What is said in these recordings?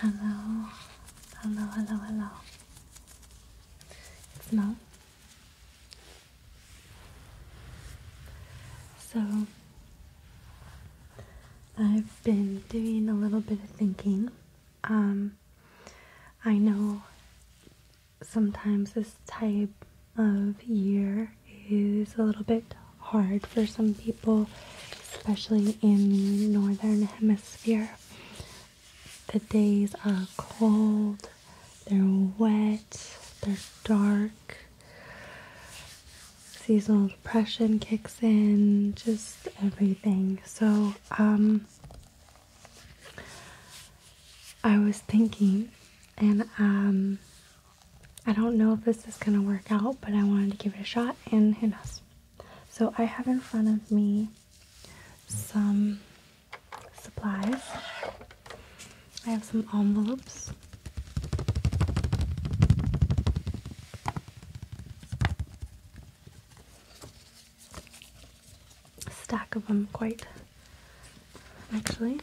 Hello, hello, hello, hello. It's Mom. So, I've been doing a little bit of thinking. Um, I know sometimes this type of year is a little bit hard for some people, especially in the northern hemisphere. The days are cold, they're wet, they're dark. Seasonal depression kicks in, just everything. So, um, I was thinking, and um, I don't know if this is gonna work out, but I wanted to give it a shot, and who knows. So I have in front of me some supplies. I have some envelopes. stack of them quite actually.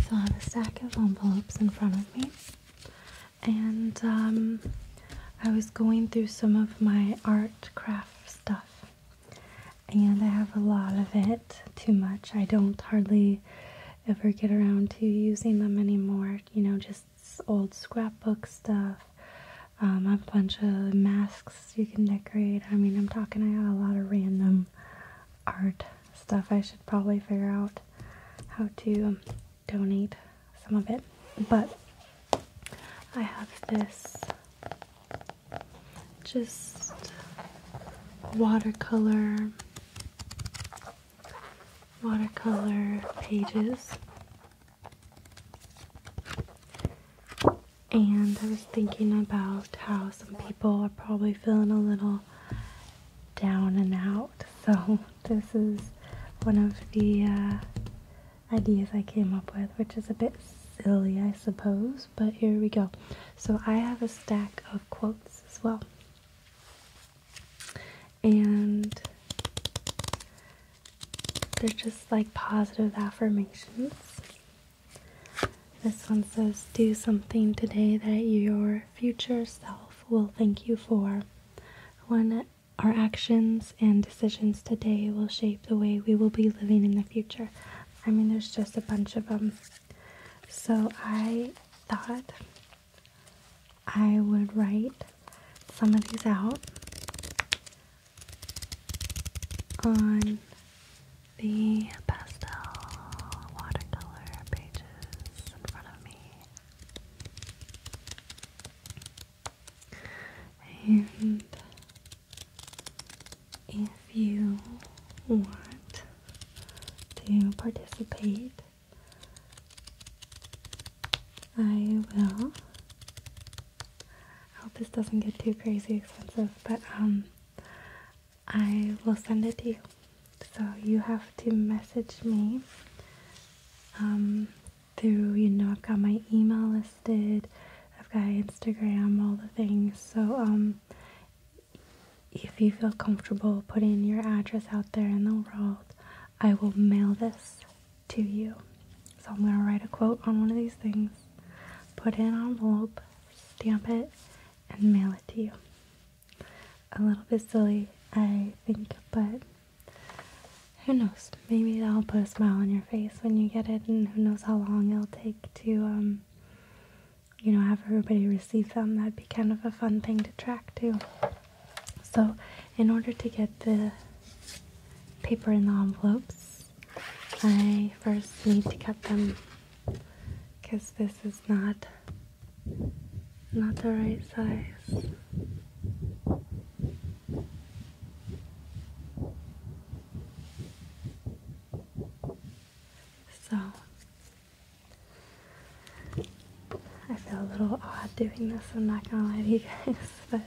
So I have a stack of envelopes in front of me, and um, I was going through some of my art craft stuff and I have a lot of it, too much. I don't hardly ever get around to using them anymore, you know, just old scrapbook stuff. Um, a bunch of masks you can decorate. I mean, I'm talking, I got a lot of random art stuff. I should probably figure out how to um, donate some of it. But I have this just watercolor watercolor pages and I was thinking about how some people are probably feeling a little down and out so this is one of the uh, ideas I came up with, which is a bit silly, I suppose, but here we go. So I have a stack of quotes as well. And they're just like positive affirmations. This one says, Do something today that your future self will thank you for. When our actions and decisions today will shape the way we will be living in the future. I mean, there's just a bunch of them. So I thought I would write some of these out on the pastel watercolor pages in front of me. And if you want to participate, I will. I hope this doesn't get too crazy expensive, but um, I will send it to you. So you have to message me um, through, you know, I've got my email list I've got Instagram, all the things. So um, if you feel comfortable putting your address out there in the world, I will mail this to you. So I'm going to write a quote on one of these things, put in an envelope, stamp it, and mail it to you. A little bit silly, I think, but who knows? Maybe that'll put a smile on your face when you get it, and who knows how long it'll take to, um, you know, have everybody receive them. That'd be kind of a fun thing to track too. So, in order to get the paper in the envelopes, I first need to cut them because this is not not the right size. So I feel a little odd doing this, I'm not gonna lie to you guys, but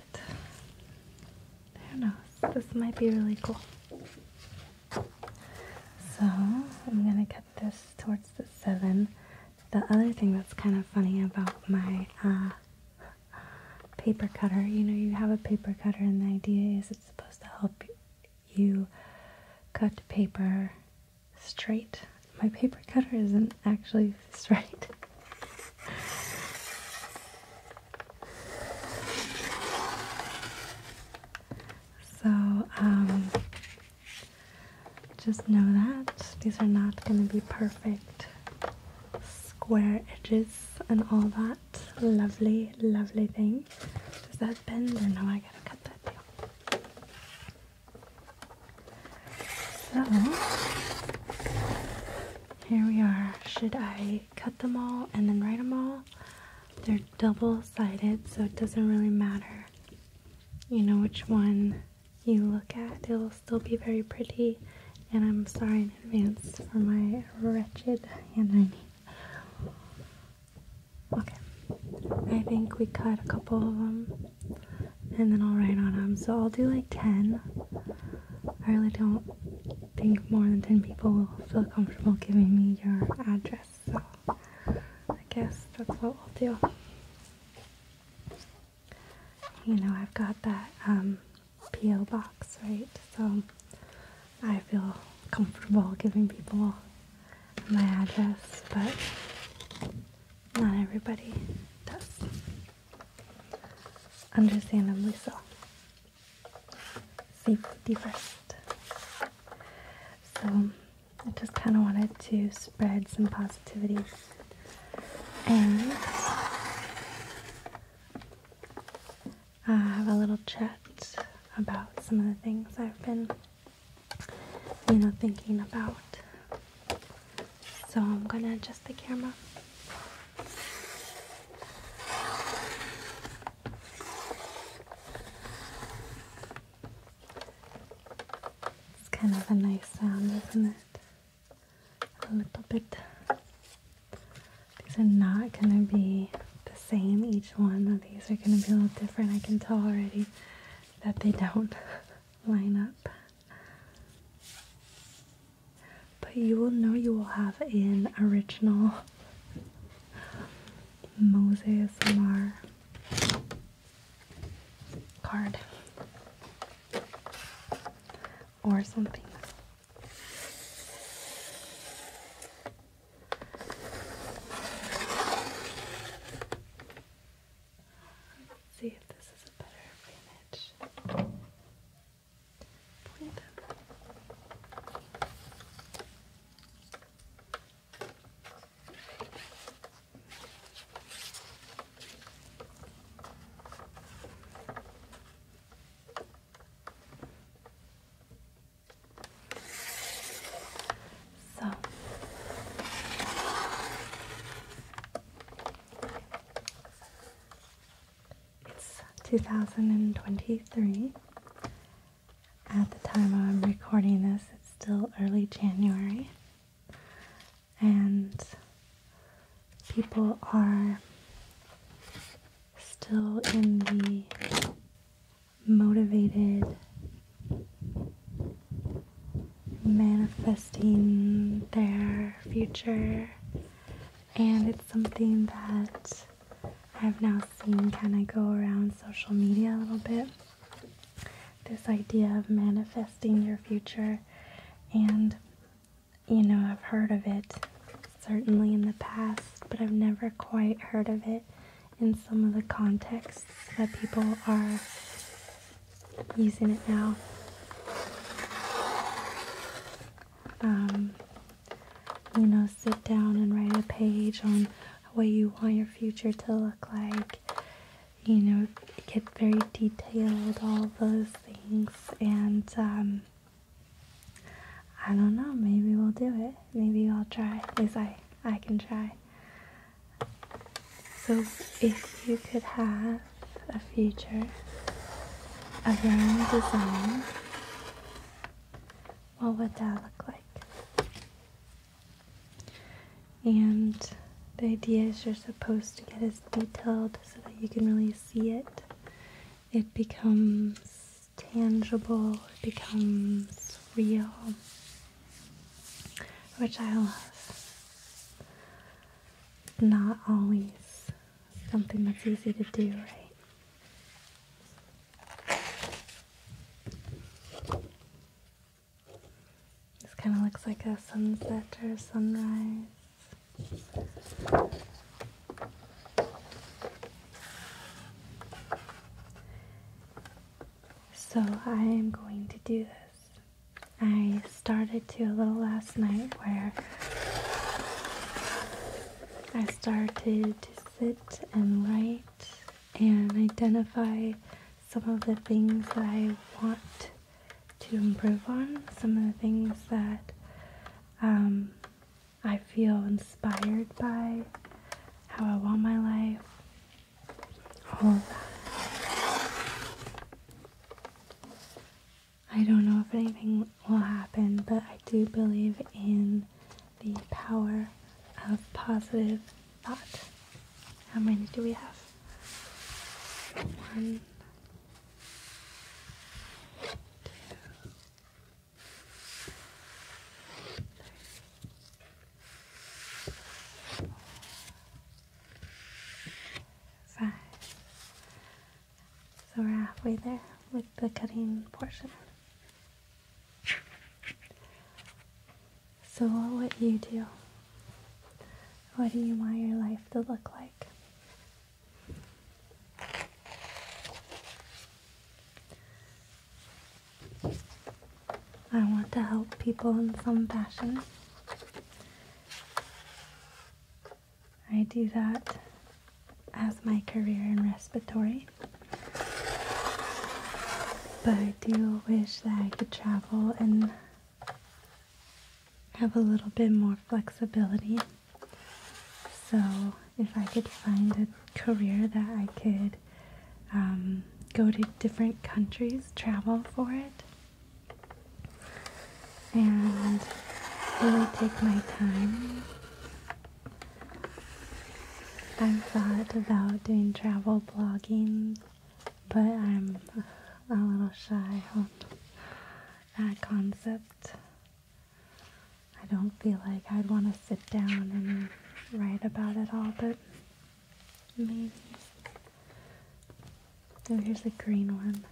who knows, this might be really cool. So I'm gonna cut this towards the 7. The other thing that's kind of funny about my uh, paper cutter. You know, you have a paper cutter, and the idea is it's supposed to help you cut paper straight. My paper cutter isn't actually straight. So, um, just know that these are not going to be perfect square edges and all that lovely, lovely thing. Does that bend or no? I gotta cut that So here we are. Should I cut them all and then write them all? They're double sided, so it doesn't really matter. You know which one you look at, it'll still be very pretty and I'm sorry in advance for my wretched handwriting. Okay, I think we cut a couple of them and then I'll write on them. So I'll do like 10. I really don't think more than 10 people will feel comfortable giving me your address, so I guess that's what we'll do. You know, I've got that um, P.O. box, right? So I feel comfortable giving people my address, but not everybody does. Understandably so. Safety first. So I just kind of wanted to spread some positivity and uh, have a little chat about some of the things I've been, you know, thinking about. So I'm gonna adjust the camera. It's kind of a nice sound, isn't it? a little bit. These are not gonna be the same, each one of these are gonna be a little different. I can tell already that they don't line up. But you will know you will have an original Moses Mar card or something Let's see if this is a better image. Point up. Okay. So it's 2023. At the time I'm recording this, it's still early January. And people are still in the motivated manifesting their future and it's something that I've now seen kind of go around social media a little bit this idea of manifesting your future and you know, I've heard of it certainly in the past, but I've never quite heard of it in some of the contexts that people are using it now. Um, you know, sit down and write a page on what you want your future to look like. You know, get very detailed, all those things, and um, I don't know, maybe we'll do it. Maybe I'll try. At least I, I can try. So, if you could have a future of your own design, what would that look like? And the idea is you're supposed to get as detailed so that you can really see it it becomes tangible, it becomes real, which I love. not always something that's easy to do, right? This kind of looks like a sunset or sunrise. So I am going to do this. I started to a little last night where I started to sit and write and identify some of the things that I want to improve on, some of the things that um, I feel inspired by, how I want my life, all that. I don't know if anything will happen, but I do believe in the power of positive thought. How many do we have? One, two, three, four, five. So we're halfway there with the cutting portion. So what would you do? What do you want your life to look like? I want to help people in some fashion. I do that as my career in respiratory. But I do wish that I could travel and have a little bit more flexibility. So, if I could find a career that I could um, go to different countries, travel for it, and really take my time, I've thought about doing travel blogging, but I'm a little shy on that concept. I don't feel like I'd want to sit down and write about it all, but maybe. Oh, here's a green one.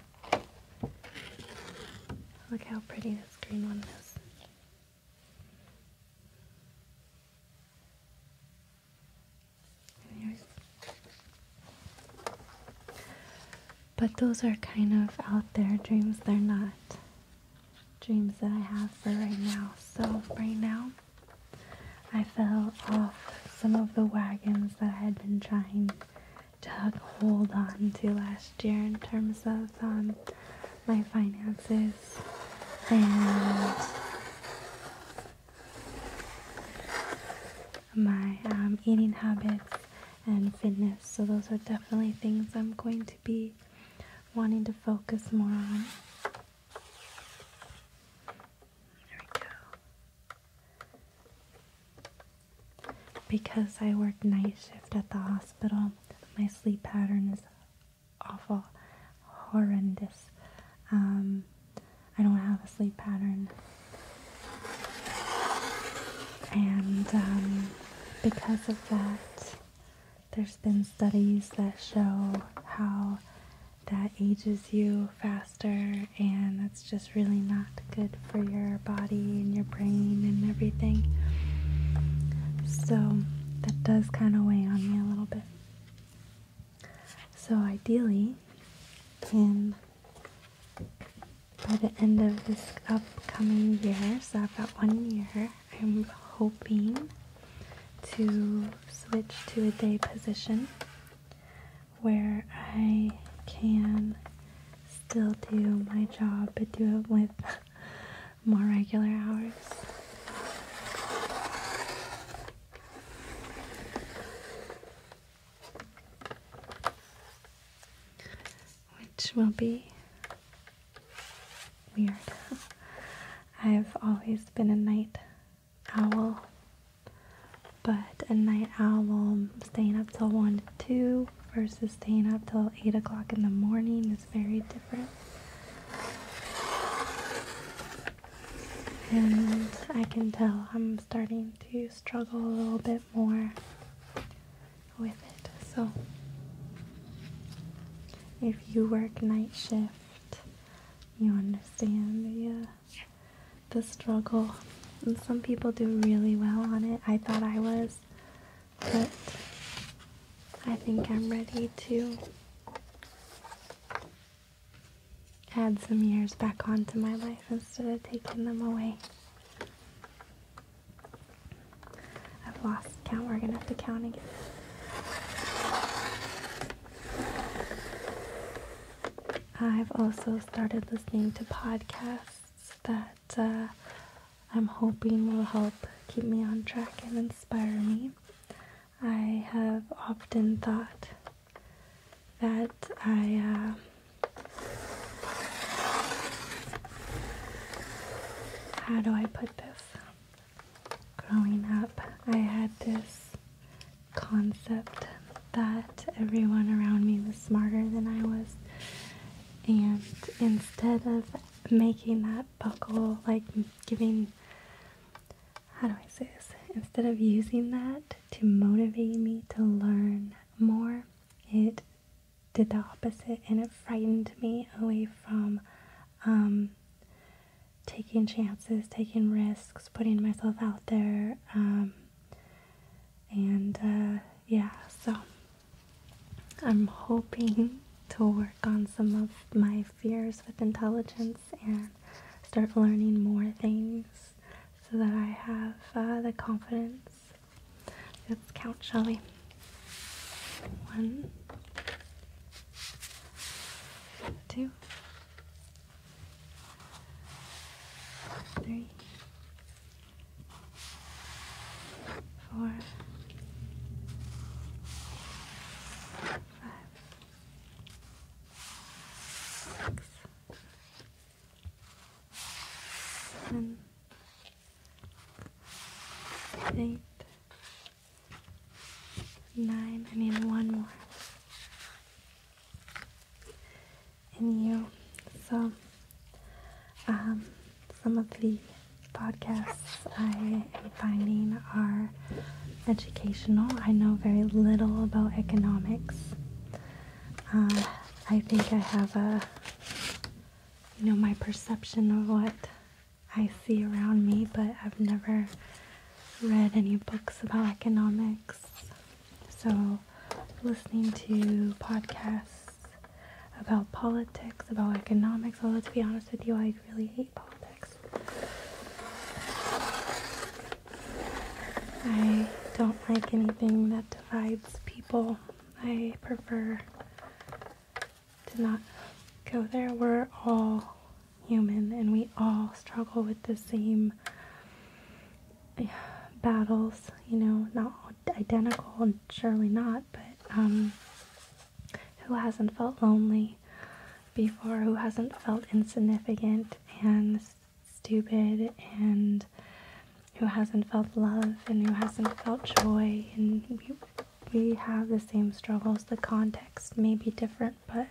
Look how pretty this green one is. here's but those are kind of out there dreams. They're not dreams that I have for right now. So, right now, I fell off some of the wagons that I had been trying to hold on to last year in terms of um, my finances and my um, eating habits and fitness. So those are definitely things I'm going to be wanting to focus more on. There we go. Because I work night shift at the hospital, my sleep pattern is awful, horrendous. Um, I don't have a sleep pattern and um, because of that, there's been studies that show how that ages you faster, and that's just really not good for your body and your brain and everything. So that does kind of weigh on me a little bit. So ideally, in by the end of this upcoming year. So I've got one year. I'm hoping to switch to a day position where I can still do my job but do it with more regular hours which will be weird. I've always been a night owl, but a night owl staying up till 1 2 versus staying up till 8 o'clock in the morning is very different. And I can tell I'm starting to struggle a little bit more with it. So, if you work night shift, you understand uh, the, struggle. And some people do really well on it. I thought I was, but I think I'm ready to add some years back onto my life instead of taking them away. I've lost count. We're gonna have to count again. I've also started listening to podcasts that uh, I'm hoping will help keep me on track and inspire me. I have often thought that I uh, how do I put this? Growing up, I had this concept that everyone around me was smarter than I was. And instead of making that buckle, like giving, how do I say this? Instead of using that to motivate me to learn more, it did the opposite and it frightened me away from um, taking chances, taking risks, putting myself out there. Um, and uh, yeah, so I'm hoping to work on some of my fears with intelligence and start learning more things so that I have uh, the confidence Let's count, shall we? One, two, three, four, five, six, nine. I need one more. And you. So, um, some of the podcasts I am finding are educational. I know very little about economics. Uh, I think I have a, you know, my perception of what I see around me, but I've never read any books about economics. So, listening to podcasts about politics, about economics, although to be honest with you, I really hate politics. I don't like anything that divides people I prefer to not go there. We're all human and we all struggle with the same battles, you know, not identical, and surely not, but um, who hasn't felt lonely before, who hasn't felt insignificant and stupid and who hasn't felt love and who hasn't felt joy and we, have the same struggles the context may be different but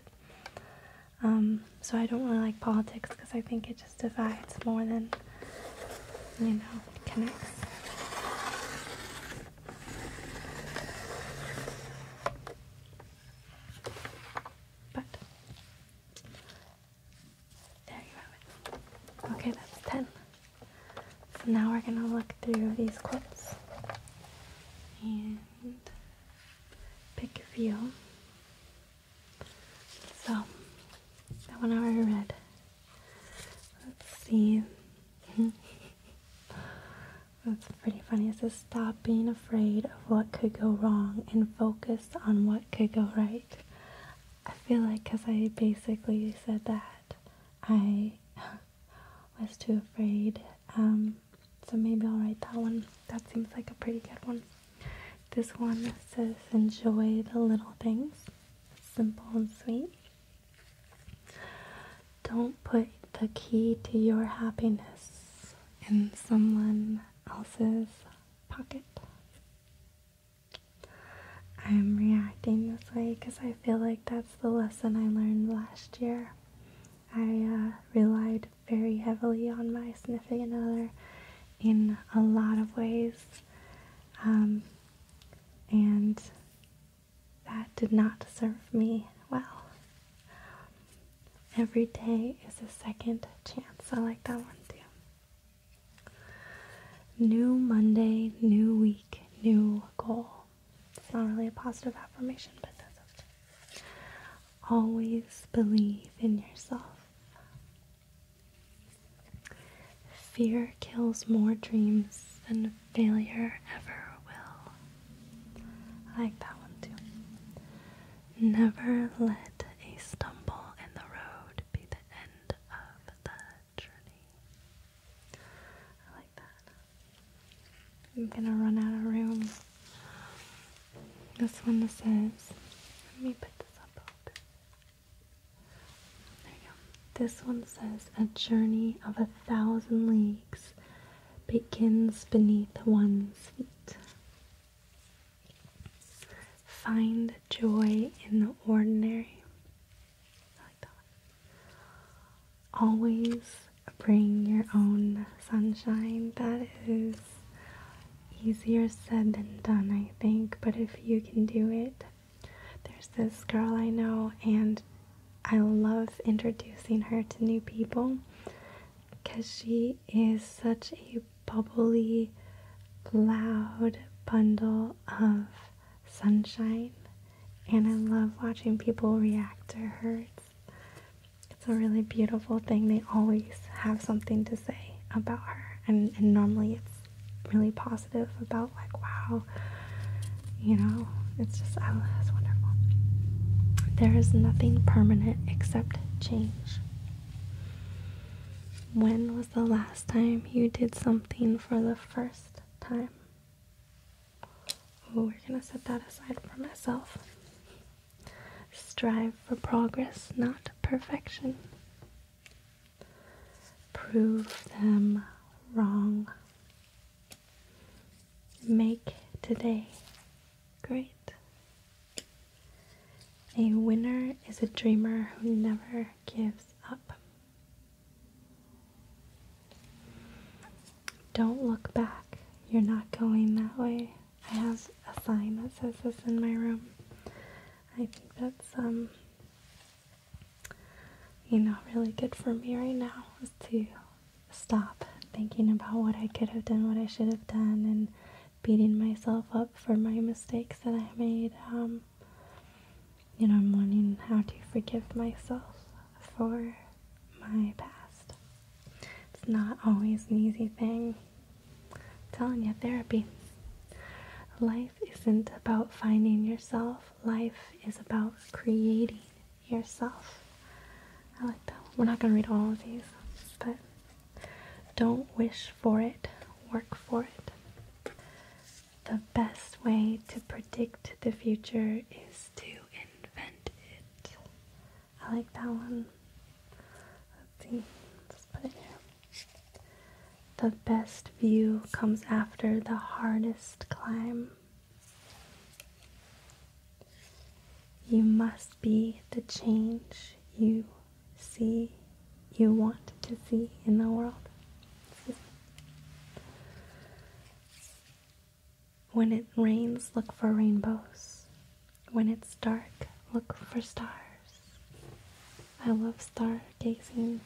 um, so i don't really like politics because i think it just divides more than you know connects but there you have it. Okay, that's 10. now we're going to look through these clips and pick a few. So, that one I already read. Let's see. That's pretty funny. It says, Stop being afraid of what could go wrong and focus on what could go right. I feel like because I basically said that, I was too afraid. Um, so maybe I'll write that one. That seems like a pretty good one. This one says, Enjoy the little things, simple and sweet. Don't put the key to your happiness in someone else's pocket. I'm reacting this way because I feel like that's the lesson I learned last year. I uh, relied very heavily on my sniffing other in a lot of ways, um, and that did not serve me well. Every day is a second chance. I like that one too. New Monday, new week, new goal. It's not really a positive affirmation, but that's okay. Always believe in yourself. Fear kills more dreams than failure ever will. I like that one too. Never let a stumble in the road be end of the journey. I like that. I'm gonna run out of room. This one says, let me put this up. There you go. This one says, a journey of a thousand leagues begins beneath one's feet. Find joy in the ordinary. I like that one. Always bring your own sunshine. That is easier said than done, I think, but if you can do it, there's this girl I know, and I love introducing her to new people because she is such a bubbly, loud bundle of sunshine, and I love watching people react to her. It's, a really beautiful thing. They always have something to say about her, and, normally it's really positive about, like, wow, you know, it's just, I love, wonderful. There is nothing permanent except change. When was the last time you did something for the first time? we're gonna set that aside for myself. Strive for progress, not perfection. Prove them wrong. Make today great. A winner is a dreamer who never gives up. Don't look back. You're not going that way. I have a sign that says this in my room. I think that's um you know really good for me right now is to stop thinking about what I could have done, what I should have done and beating myself up for my mistakes that I made. Um, you know, I'm learning how to forgive myself for my past. It's not always an easy thing. I'm telling you, therapy. Life isn't about finding yourself, life is about creating yourself. I like that. We're not going to read all of these, but don't wish for it, work for it. The best way to predict the future is to invent it. I like that one. Let's see, let's put it here. The best view comes after the hardest climb. You must be the change you see you want to see in the world. When it rains, look for rainbows. When it's dark, look for stars. I love stargazing.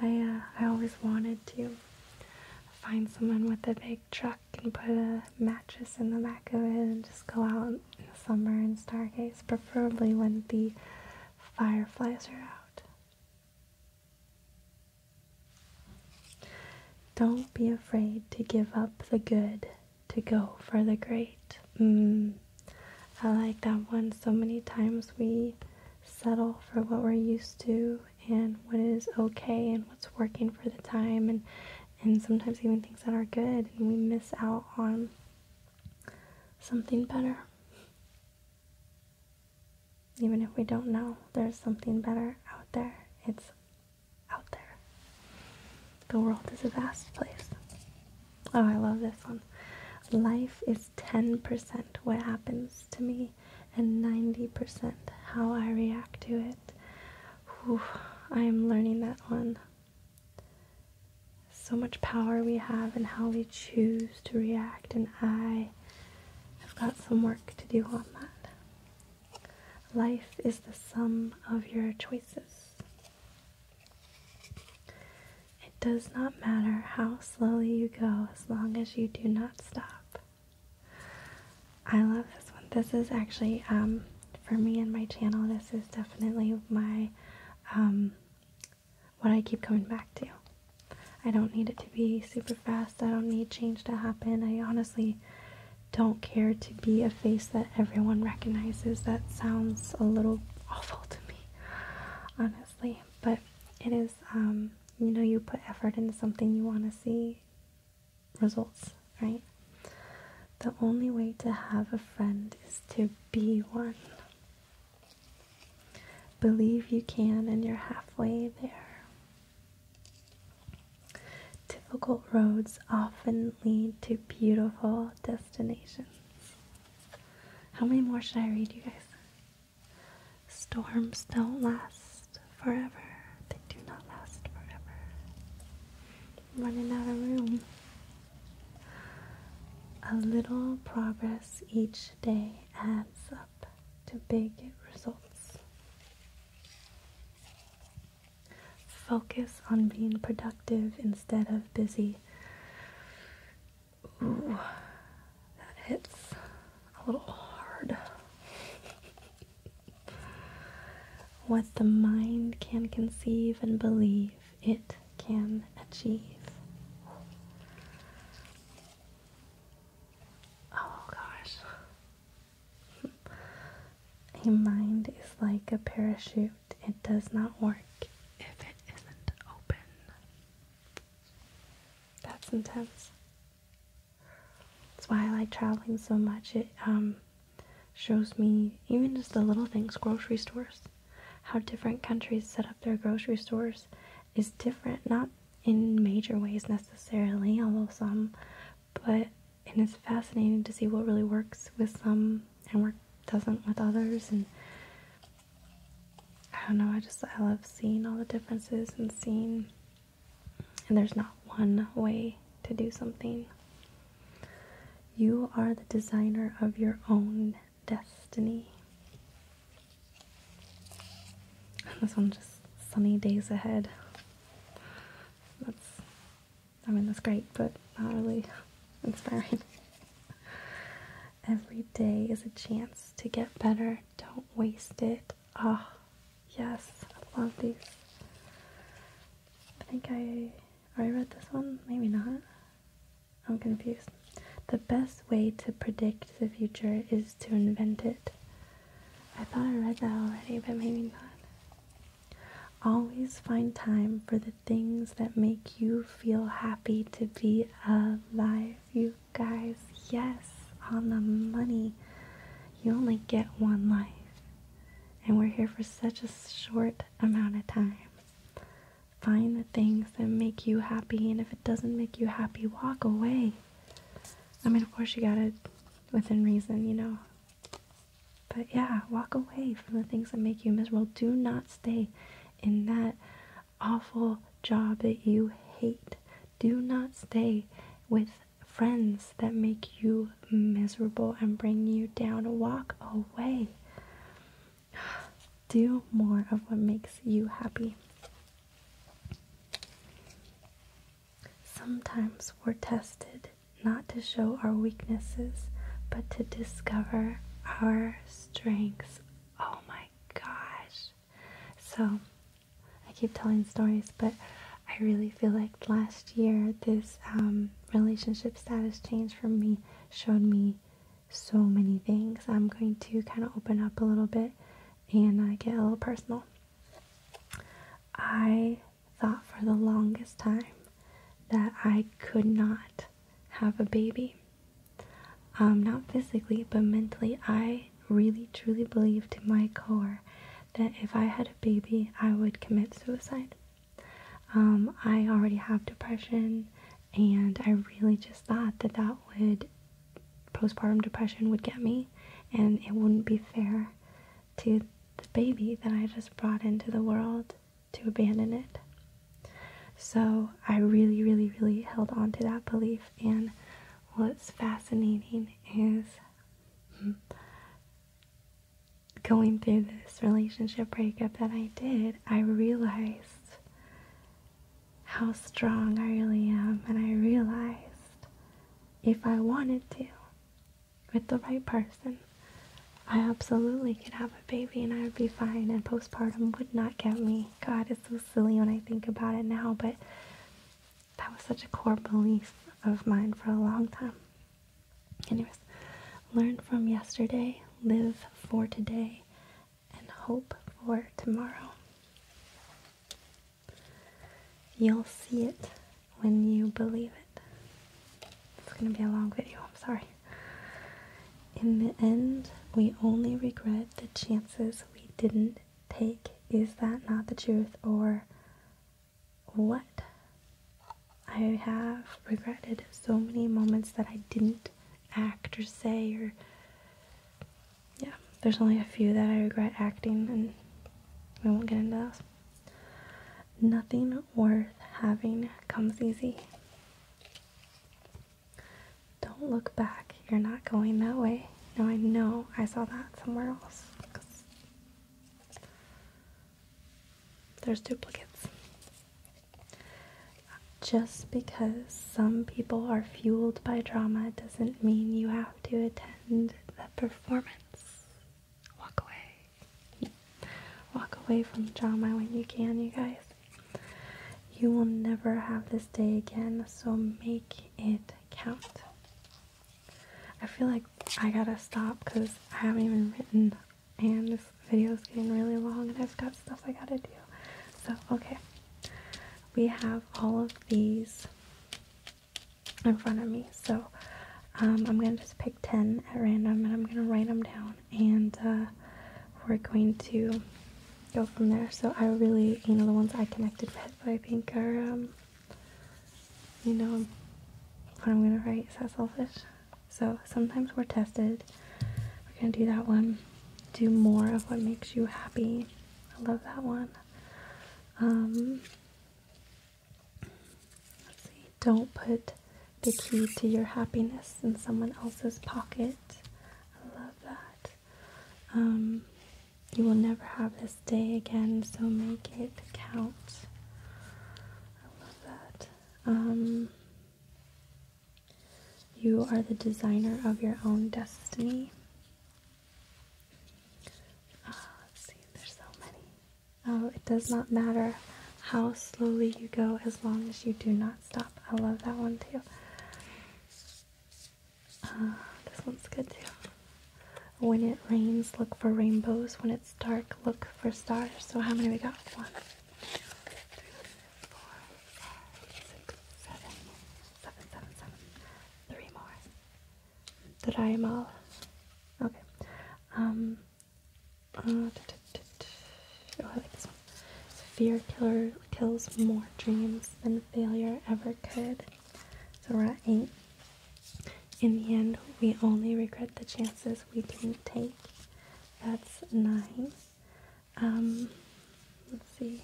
I uh, I always wanted to find someone with a big truck and put a mattress in the back of it and just go out out in the summer and stargaze, preferably when the fireflies are out. Don't be afraid to give up the good to go for the great. Mm, I like that one. So many times we settle for what we're used to and what is okay and what's working for the time and and sometimes even things that are good and we miss out on something better. Even if we don't know, there's something better out there. It's out there. The world is a vast place. Oh, I love this one. Life is 10% what happens to me and 90% how I react to it. I am learning that one so much power we have in how we choose to react, and I have got some work to do on that. Life is the sum of your choices. It does not matter how slowly you go as long as you do not stop. I love this one. This is actually um, for me and my channel, this is definitely my um, what I keep coming back to. I don't need it to be super fast. I don't need change to happen. I honestly don't care to be a face that everyone recognizes. That sounds a little awful to me, honestly. But it is, um, you know, you put effort into something you want to see results, right? The only way to have a friend is to be one. Believe you can, and you're halfway there. Difficult roads often lead to beautiful destinations. How many more should I read, you guys? Storms don't last forever. They do not last forever running out of room. A little progress each day adds up to big results. Focus on being productive instead of busy. Ooh, that hits a little hard. what the mind can conceive and believe it can achieve. Oh gosh. a mind is like a parachute, it does not work if it isn't open. That's intense. That's why I like traveling so much. It um shows me even just the little things, grocery stores, how different countries set up their grocery stores is different, not in major ways necessarily, although some, but and it's fascinating to see what really works with some and what doesn't with others and I don't know, I just I love seeing all the differences and seeing and there's not one way to do something. You are the designer of your own destiny. This one just sunny days ahead. That's, I mean, that's great, but not really inspiring. Every day is a chance to get better. Don't waste it. Ah, yes, I love these. I think I I read this one? Maybe not. I'm confused. The best way to predict the future is to invent it. I thought I read that already, but maybe not. Always find time for the things that make you feel happy to be alive. You guys, yes, on the money. You only get one life. And we're here for such a short amount of time. Find the things that make you happy, and if it doesn't make you happy, walk away. I mean, of course, you gotta within reason, you know. But yeah, walk away from the things that make you miserable. Do not stay in that awful job that you hate. Do not stay with friends that make you miserable and bring you down. Walk away. Do more of what makes you happy. Sometimes we're tested not to show our weaknesses, but to discover our strengths. Oh my gosh. So, I keep telling stories, but I really feel like last year this um, relationship status changed for me showed me so many things. I'm going to kind of open up a little bit and uh, get a little personal. I thought for the longest time that I could not have a baby. Um, not physically, but mentally. I really truly believed to my core that if I had a baby, I would commit suicide. Um, I already have depression, and I really just thought that that would postpartum depression would get me, and it wouldn't be fair to the baby that I just brought into the world to abandon it. So I really, really, really held on to that belief. And what's fascinating is hmm, going through this relationship breakup that I did, I realized how strong I really am. And I realized if I wanted to, with the right person, I absolutely could have a baby and I would be fine. And postpartum would not get me. God, it's so silly when I think about it now, but that was such a core belief of mine for a long time. Anyways, learn from yesterday, live for today, and hope for tomorrow. You'll see it when you believe it. It's going to be a long video, I'm sorry. In the end, we only regret the chances we didn't take. Is that not the truth? Or what? I have regretted so many moments that I didn't act or say or yeah, there's only a few that I regret acting and we won't get into those. Nothing worth having comes easy. Don't look back. You're not going that way. No, I know I saw that somewhere else there's duplicates. Just because some people are fueled by drama doesn't mean you have to attend the performance. Walk away. Walk away from drama when you can, you guys. You will never have this day again, so make it count. I feel like I gotta stop because I haven't even written and this video is getting really long and I've got stuff I gotta do. So, okay. We have all of these in front of me. So, um, I'm gonna just pick 10 at random and I'm gonna write them down and uh, we're going to go from there. So, I really, you know, the ones I connected with, I think are, um, you know, what I'm gonna write. Is that selfish? So sometimes we're tested. We're gonna do that one. Do more of what makes you happy. I love that one. Um, let's see. Don't put the key to your happiness in someone else's pocket. I love that. Um, you will never have this day again, so make it count. I love that. Um, you are the designer of your own destiny. Ah, oh, it does not matter how slowly you go as long as you do not stop. I love that one too. Ah, this one's good too. When it rains, look for rainbows. When it's it's dark, look for stars. So how many we got? One, two, three, four, five, six, seven, seven, seven, seven. Three more. Did I am all? Okay. Um. Uh, oh, I like this one. fear killer kills more dreams than failure ever could. So we're at eight. In the end, we only regret the chances we didn't take. That's nine. Um, let's see.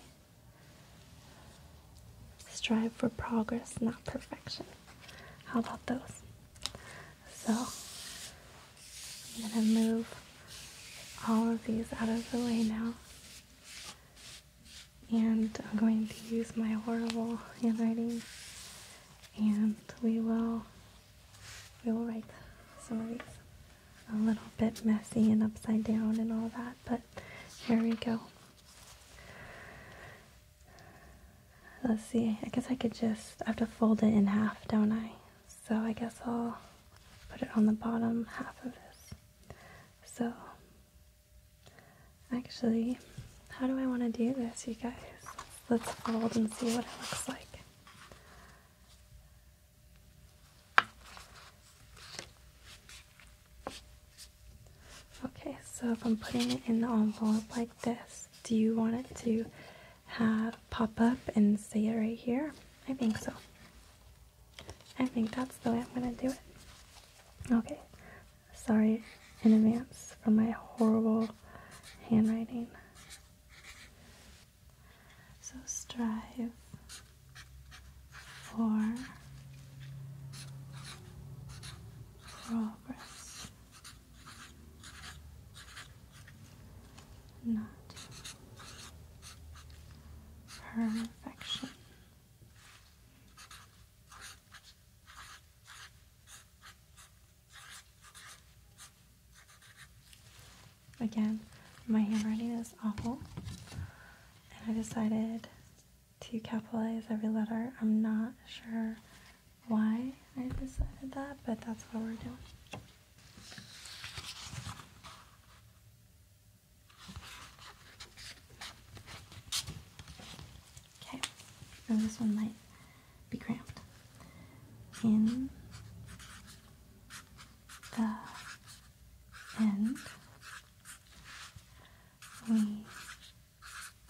Strive for progress, not perfection. How about those? So I'm gonna move all of these out of the way now. And I'm going to use my horrible handwriting and we will we will write some of these A little bit messy and upside down and all that, but here we go. Let's see, I guess I could just, I have to fold it in half, don't I? So I guess I'll put it on the bottom half of this. So, actually, how do I want to do this, you guys? Let's fold and see what it looks like. Okay, so if I'm putting it in the envelope like this, do you want it to have pop up and say it right here? I think so. I think that's the way I'm going to do it. Okay, sorry in advance for my horrible handwriting. So strive for progress, not perfection. Again, my handwriting is awful, and I decided to capitalize every letter. I'm not sure why I decided that, but that's what we're doing. Okay, and this one might be cramped. In the end, we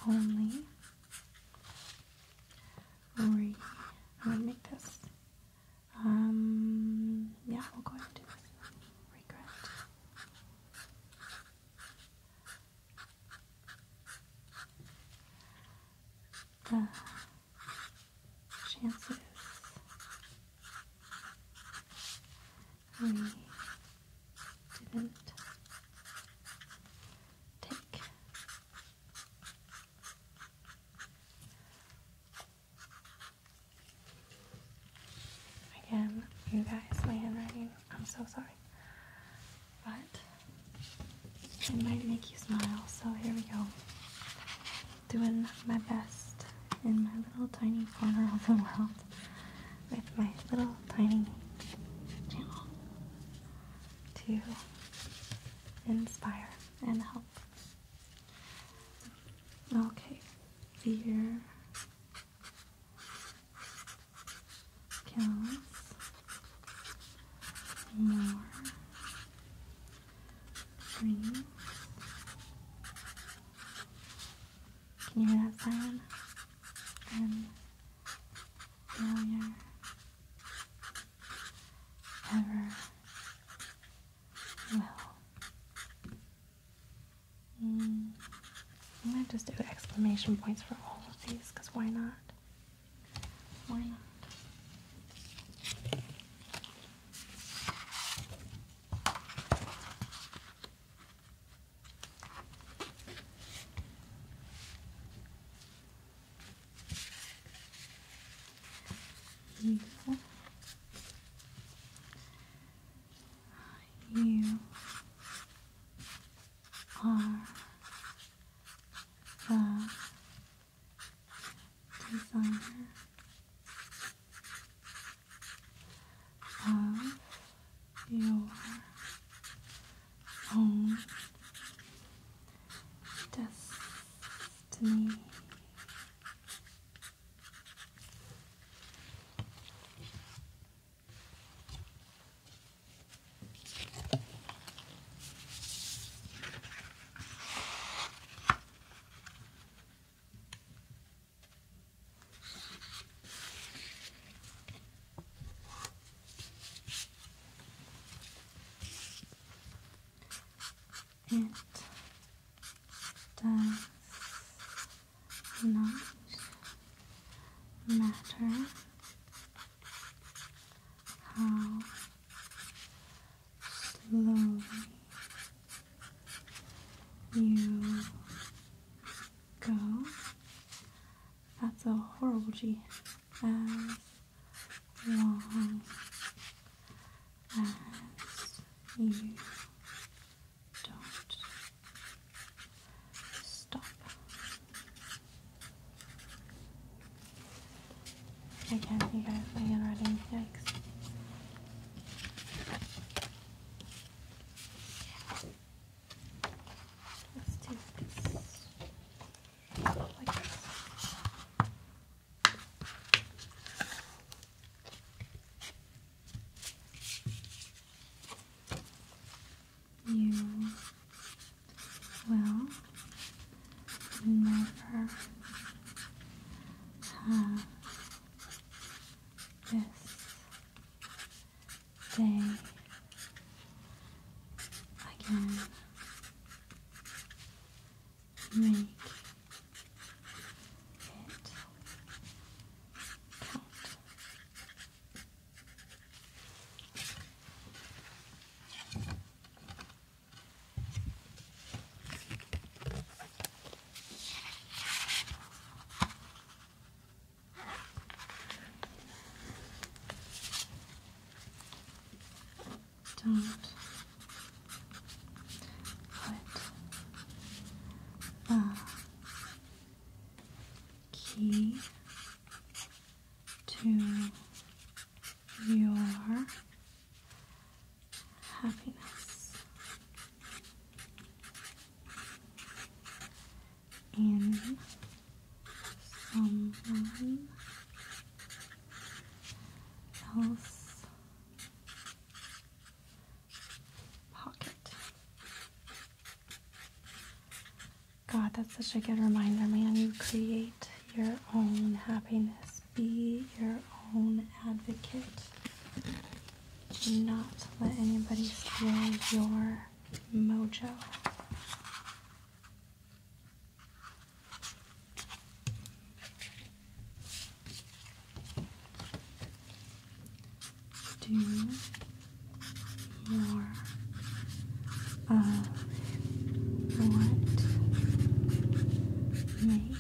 only re. I'm gonna make this. Um, yeah, we'll go ahead and do it. Regret the chances we didn't take. Again, you guys, my handwriting, I'm so sorry but it might make you smile. So here we go. Doing my best in my little tiny corner of the world with my little tiny channel to inspire and help. Okay, here kills more trees. Can you hear that sound? And failure ever will. I'm mm, gonna just do exclamation points for all of these, because why not? Why You are the of your own destiny. It does not matter how slowly you go. That's a horrible G. As long as you don't stop. I can't figure out my handwriting Let's do this. Like this. You well, never have this day again. Make it count. Don't put the key to your happiness in someone else pocket God, that's such a good reminder, man. You create your own happiness, be your own advocate. Do not let anybody steal your mojo. Do more of uh, what makes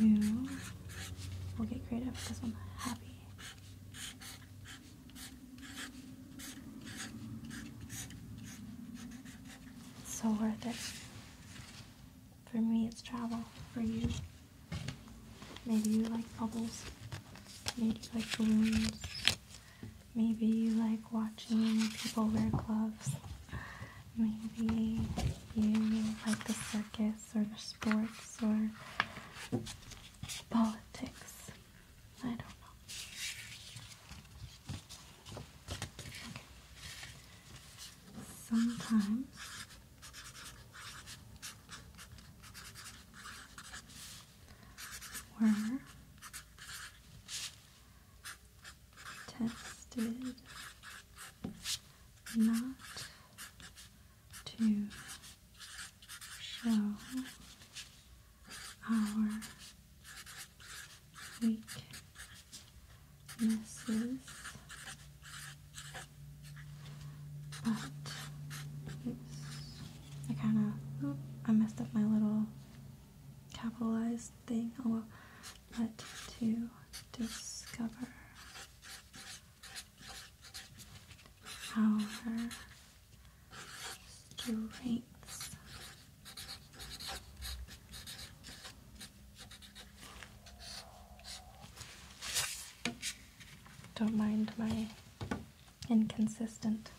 you we'll get creative with this one happy. so worth it. For me, it's travel. For you, Maybe you like bubbles. Maybe you like balloons. Maybe you like watching people wear gloves. Maybe you like the circus or the sports or politics. I don't know. Sometimes were tested not to show our weaknesses but I kind of I messed up my little capitalized thing. Oh well. But to discover our strengths. Don't mind my Inconsistent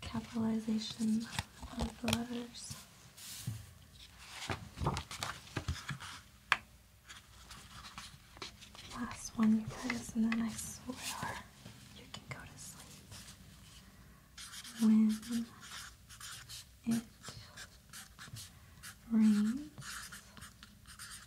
capitalization of letters. Last one, you guys, and then I swear you can go to sleep. When it rains,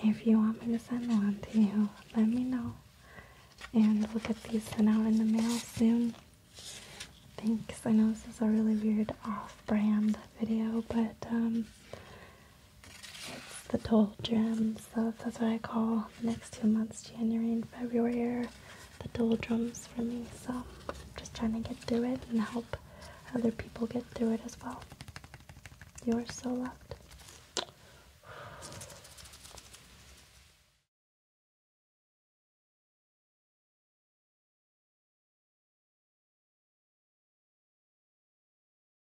If you want me to send one to you, let me know. And we'll get these sent out in the mail soon. Thanks. I know this is a really weird off brand video, but um, it's the doldrums. that's what I call the next two months, January and February, the doldrums for me. So I'm just trying to get through it and help other people get through it as well. You are so loved.